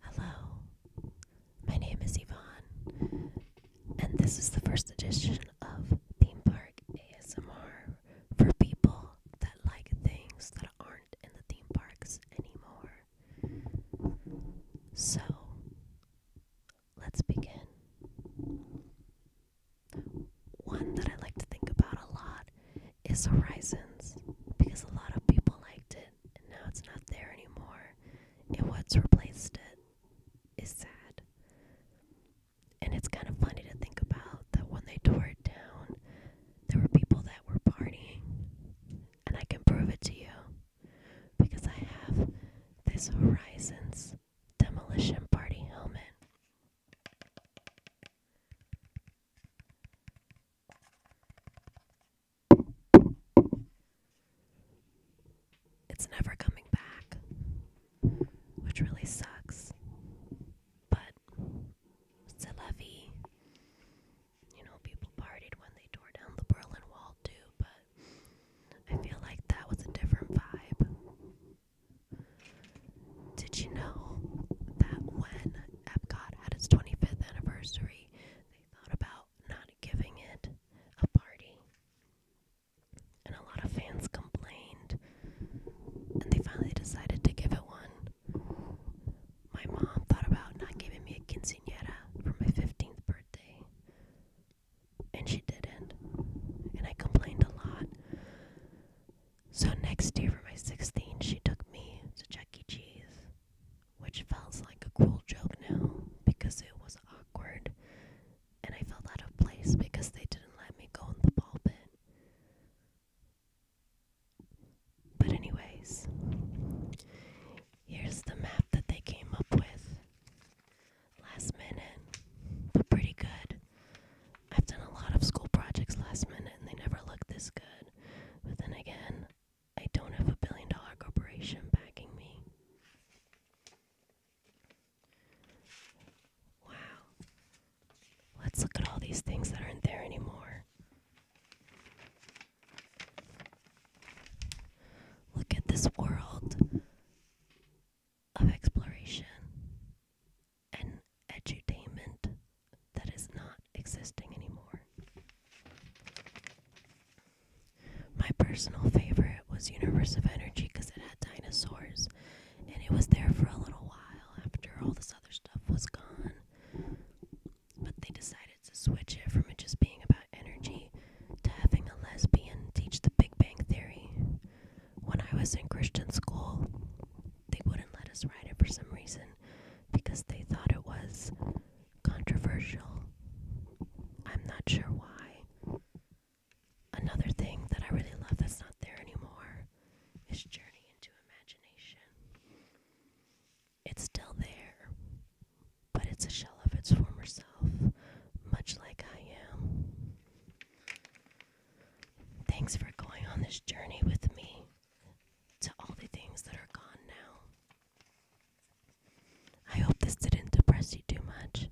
Hello, my name is Yvonne, and this is the first edition of Theme Park ASMR for people that like things that aren't in the theme parks anymore. So, let's begin. One that I like to think about a lot is Horizons because a lot of people liked it and now it's not there anymore. And what's replaced it is sad. And it's kind of funny to think about that when they tore it down, there were people that were partying. And I can prove it to you because I have this Horizons demolition party helmet it's never coming back, which really sucks. But c'est la You know, people partied when they tore down the Berlin Wall too, but I feel like that was a different vibe. Did you know that when Epcot had its 25th anniversary, they thought about not giving it a party? And a lot of fans complained, and they finally decided to give it one. My mom thought about not giving me a quinceanera for my 15th birthday and she didn't. And I complained a lot. So next year for my 16th, she took me to Chuck E. Cheese, which feels like a cruel joke now because it was awkward and I felt out of place because they didn't let me go in the ball pit. But anyways, Here's the map that they came up with last minute, but pretty good. I've done a lot of school projects last minute and they never look this good. But then again, I don't have a billion dollar corporation backing me. Wow. Let's look at all these things that aren't there anymore. Look at this world of exploration and edutainment that is not existing anymore. My personal favorite was Universe of Energy because it had dinosaurs and it was there for a little while after all this other stuff was gone. But they decided to switch it from it just being about energy to having a lesbian teach the Big Bang Theory. When I was in Christian school, they wouldn't let us write it for some reason because they thought it was controversial. I'm not sure why. Another thing that I really love that's not there anymore this journey into imagination. It's still there, but it's a shell of its former self, much like I am. Thanks for going on this journey with me to all the things that are gone now. I hope this didn't depress you too much.